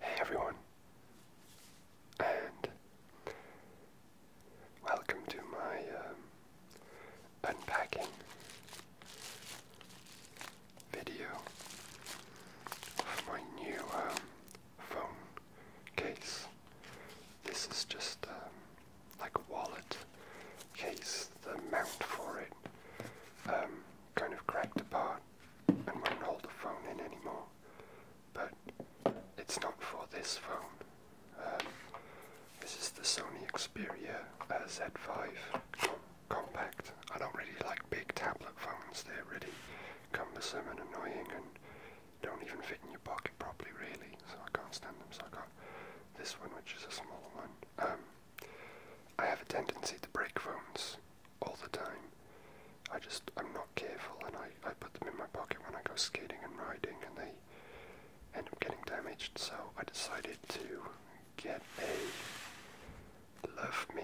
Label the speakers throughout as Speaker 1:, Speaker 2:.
Speaker 1: Hey everyone, and welcome to my um, unpacking video of my new um, phone case. This is just um, like a wallet case, the mount for it, um, kind of cracked apart and will not hold the phone in anymore. But it's not for this phone. Um, this is the Sony Xperia uh, Z5 Compact. I don't really like big tablet phones, they're really cumbersome and annoying and don't even fit in your pocket properly, really, so I can't stand them, so I got this one, which is a smaller one. Um, I have a tendency to break phones all the time. I just, I'm not careful and I, I put them in my pocket when I go skating and riding and they end up getting damaged. So I decided to get a Love Me,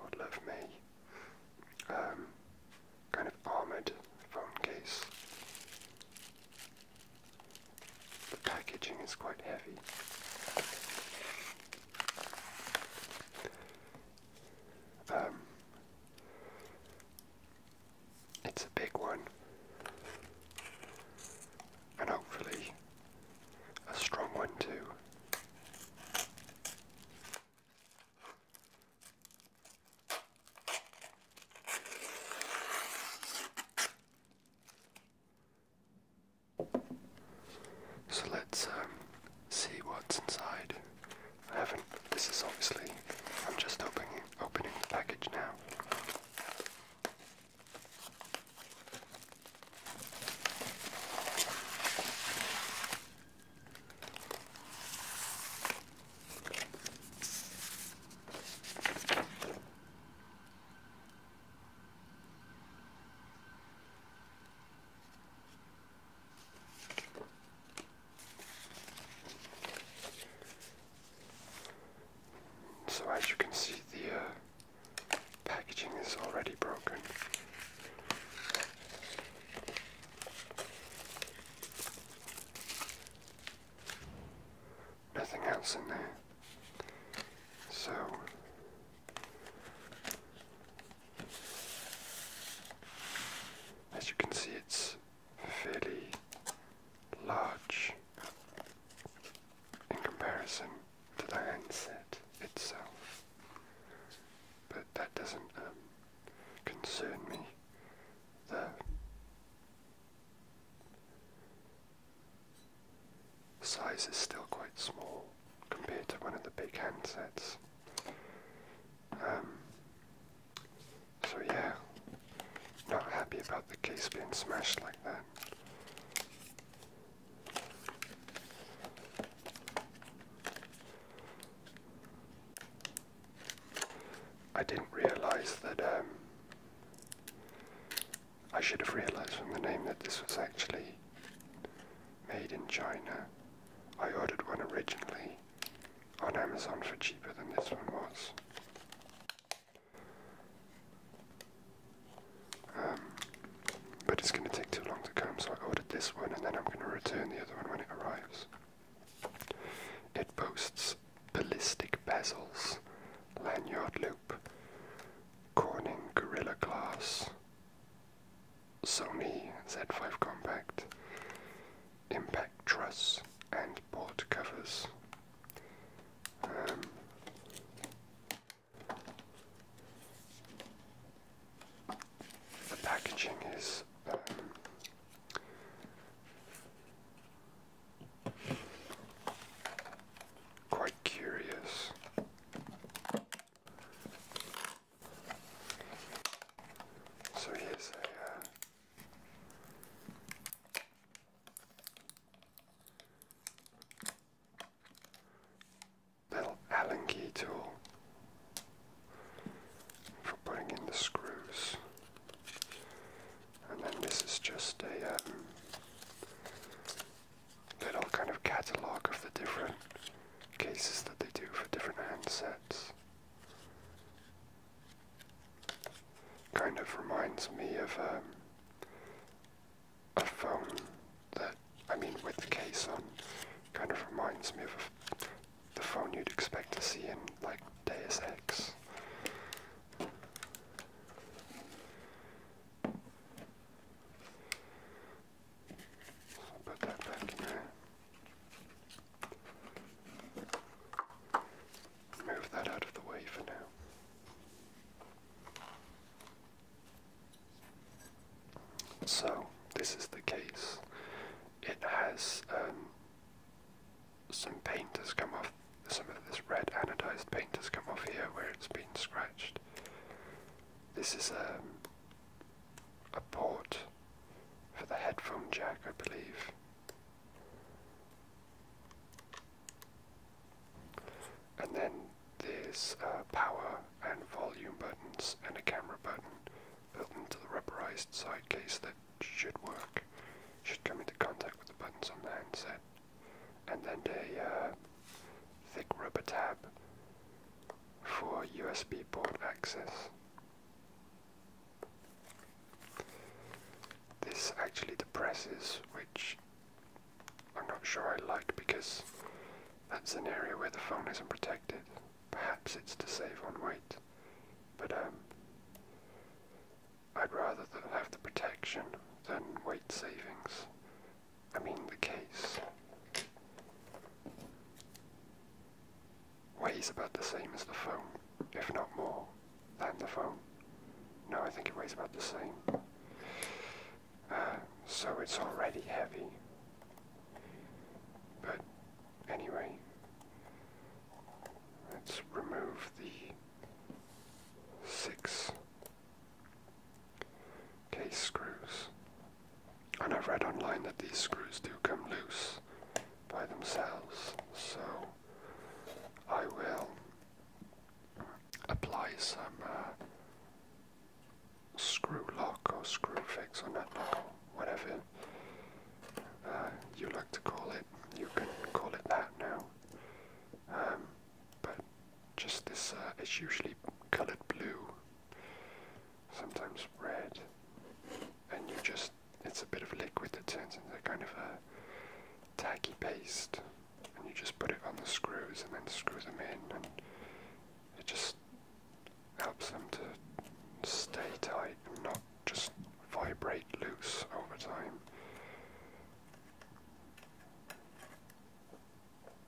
Speaker 1: or Love Me, um, kind of armoured phone case. The packaging is quite heavy. Um, it's a big one, and hopefully a strong one too. So let's um, see what's inside. haven't. This is obviously. I'm just opening opening the package now. So as you can see, the uh, packaging is already broken nothing else in there. So as you can see, it's fairly large in comparison to the handset itself, but that doesn't um, concern me The size is still quite small compared to one of the big handsets. Um, so yeah, not happy about the case being smashed like that. I didn't realise that um, I should have realised from the name that this was actually made in China. I ordered one originally on Amazon for cheaper than this one was. Um, but it's going to take too long to come, so I ordered this one and then I'm going to return the other one when it arrives. It boasts ballistic bezels, lanyard loop, Corning Gorilla Glass, Sony Z5 Compact, impact truss, and port covers. Um, the packaging is um, Quite curious. So here's a. Uh, little Allen key tool for putting in the screws. And then this is just a um, little kind of catalogue of the different cases that they do for different handsets. Kind of reminds me of um, a phone that, I mean, with the case on, kind of reminds me of the phone you'd expect to see in like Deus Ex. So put that back in there. Move that out of the way for now. So, this is the case it has um, some paint has come off, some of this red anodized paint has come off here where it's been scratched. This is um, a port for the headphone jack, I believe. And then there's uh, power and volume buttons and a camera button built into the rubberized side case that should work, should come into contact with the buttons on the handset. And then a uh, thick rubber tab for USB port access. This actually depresses, which I'm not sure I like because that's an area where the phone isn't protected. Perhaps it's to save on weight, but um, I'd rather have the protection than weight savings. I mean the case. Weighs about the same as the phone, if not more than the phone. No, I think it weighs about the same. Uh, so it's already heavy. But Anyway, let's remove the 6 case screws. And I've read online that these screws do come loose by themselves, so I will apply some uh, screw lock or screw fix or nut lock or whatever uh, you like to call it. You can call it that now. Um, but just this, uh, it's usually colored blue, sometimes red, and you just, it's a bit of liquid that turns into kind of a tacky paste, and you just put it on the screws and then screw them in, and it just helps them to stay tight and not just vibrate loose over time.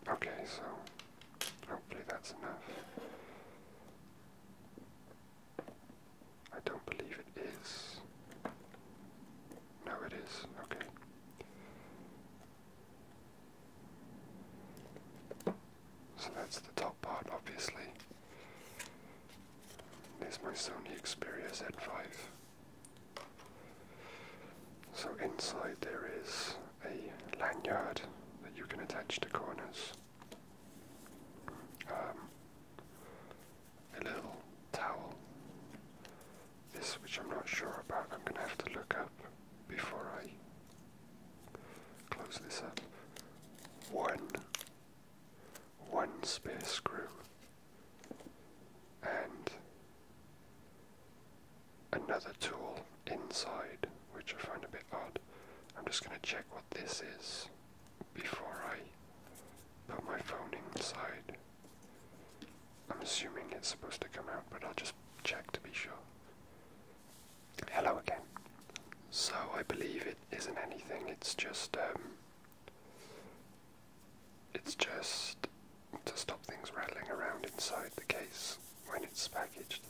Speaker 1: Okay, so hopefully that's enough. I don't believe it is. No, it is. Okay. So that's the top part, obviously. There's my Sony Xperia Z5. So inside there is a lanyard that you can attach to corners. Um, a little towel. This, which I'm not sure about, I'm going to have to look up before I Close this up. One, one spare screw, and another tool inside, which I find a bit odd. I'm just going to check what this is before I put my phone inside. I'm assuming it's supposed to come out, but I'll just check to be sure. Hello again. So I believe it isn't anything, it's just um, it's just to stop things rattling around inside the case when it's packaged.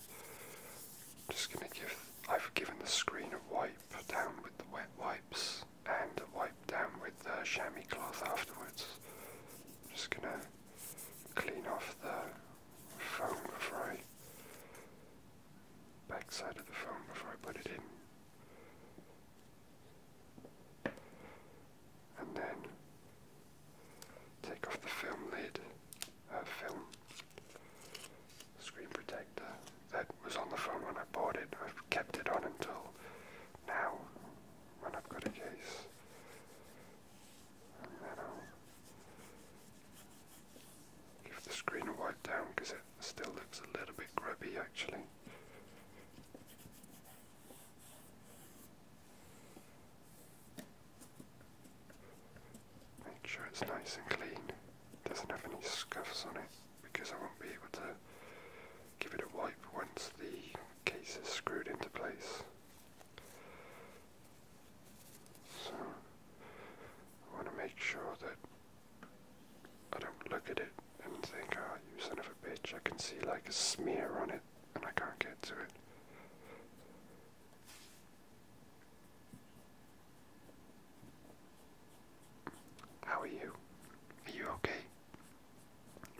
Speaker 1: just gonna give I've given the screen a wipe down with the wet wipes and a wipe down with the chamois cloth afterwards. I'm just gonna clean off the phone before I back side of the phone before I put it in. And then take off the film lid, uh, film screen protector that was on the phone when I bought it. I've kept it on until now when I've got a case. Give the screen a wipe down because it still looks a little bit grubby actually. Make sure it's nice and clean, doesn't have any scuffs on it because I won't be able to give it a wipe once the case is screwed into place. So I want to make sure that I don't look at it and think, oh, you son of a bitch, I can see like a smear on it and I can't get to it. How are you? Are you okay?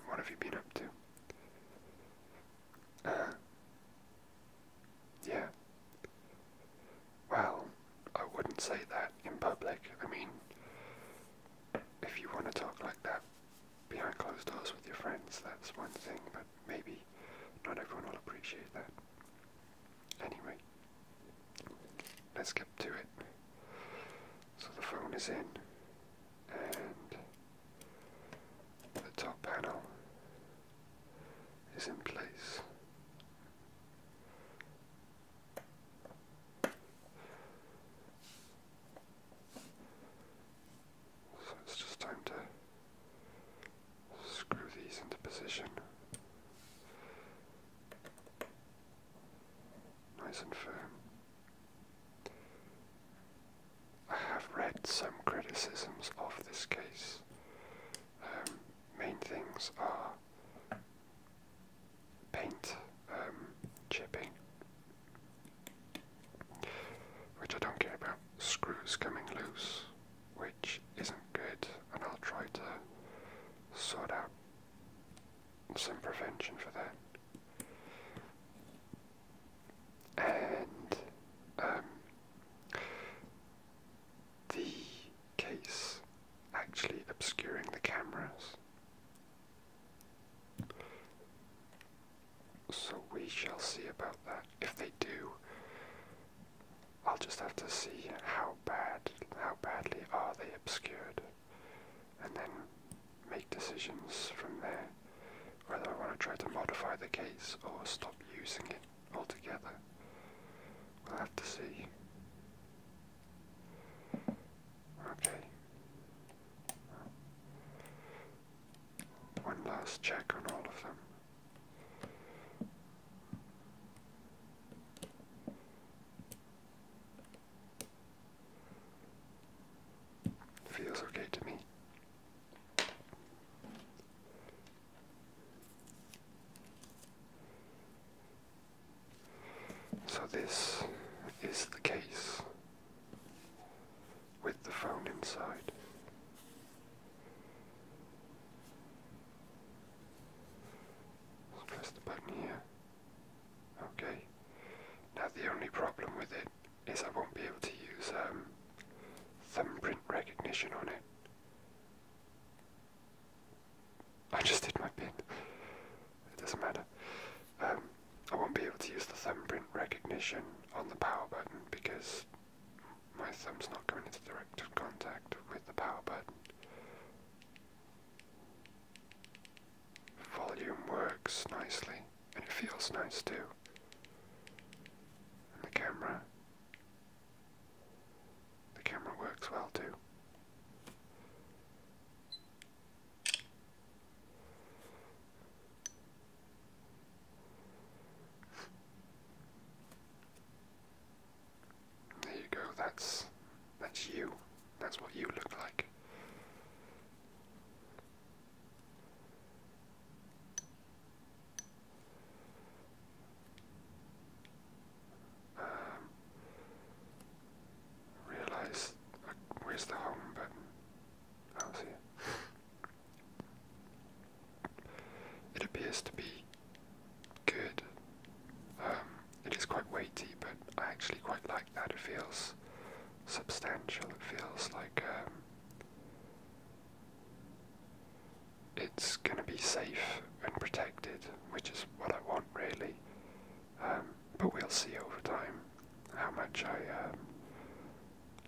Speaker 1: What have you been up to? Yeah. Well, I wouldn't say that in public. I mean, if you want to talk like that behind closed doors with your friends, that's one thing, but maybe not everyone will appreciate that. Anyway, let's get to it. So the phone is in, and the top panel is in place. So it's just time to screw these into position. Nice and firm. I have read some criticisms of this case. Um, main things are paint um, chipping, which I don't care about, screws coming loose, which isn't good, and I'll try to sort out some prevention for that and um, the case actually obscuring the cameras. So we shall see about that. If they do, I'll just have to see how bad, how badly are they obscured, and then make decisions from there whether I want to try to modify the case or stop using it altogether. We'll have to see. Okay. One last check on all of them. Feels okay to me. So, this is the case with the phone inside. Let's press the button here. Okay. Now, the only problem with it is I won't be able to use thumbprint recognition on it. I just did my pin. It doesn't matter. Um, I won't be able to use the thumbprint recognition on the power button because my thumb's not going into direct contact with the power button volume works nicely and it feels nice too. And the camera. The camera works well too. There you go, that's that's you. That's what you look like realize where's the home button? I don't see it. It appears to be good. Um, it is quite weighty, but I actually quite like that. It feels substantial. It feels like um, it's going to be safe and protected, which is what I want really. Um, but we'll see over time how much I um,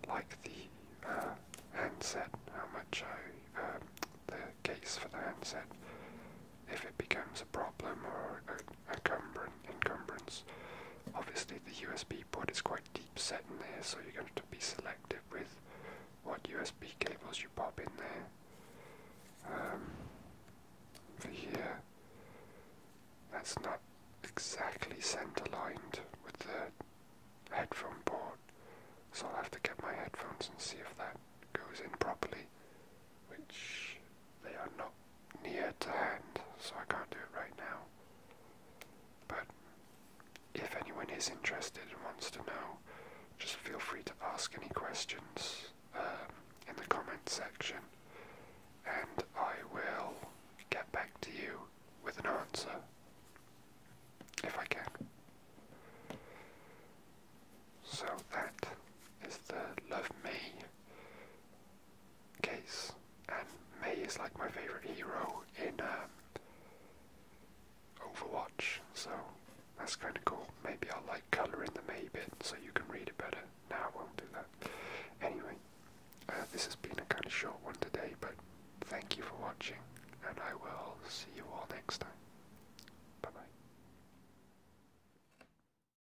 Speaker 1: like the uh, handset, how much I the case for the handset. If it becomes a problem or encumbrance. Obviously the USB port is quite deep set in there so you're going to, to be selective with what USB cables you pop in there. Um, for here, that's not exactly center lined with the headphone port, so I'll have to get my headphones and see if that goes in properly which they are not near to hand, so I can't do it right now. But if anyone is interested and wants to know, just feel free to ask any questions um, in the comment section, and I will get back to you with an answer if I can. So that is the Love Me case. And May is like my favorite hero in um, Overwatch, so that's kind of cool. Maybe I'll like color in the May bit so you can read it better. Now I won't do that. Anyway, uh, this has been a kind of short one today, but thank you for watching, and I will see you all next time. Bye bye.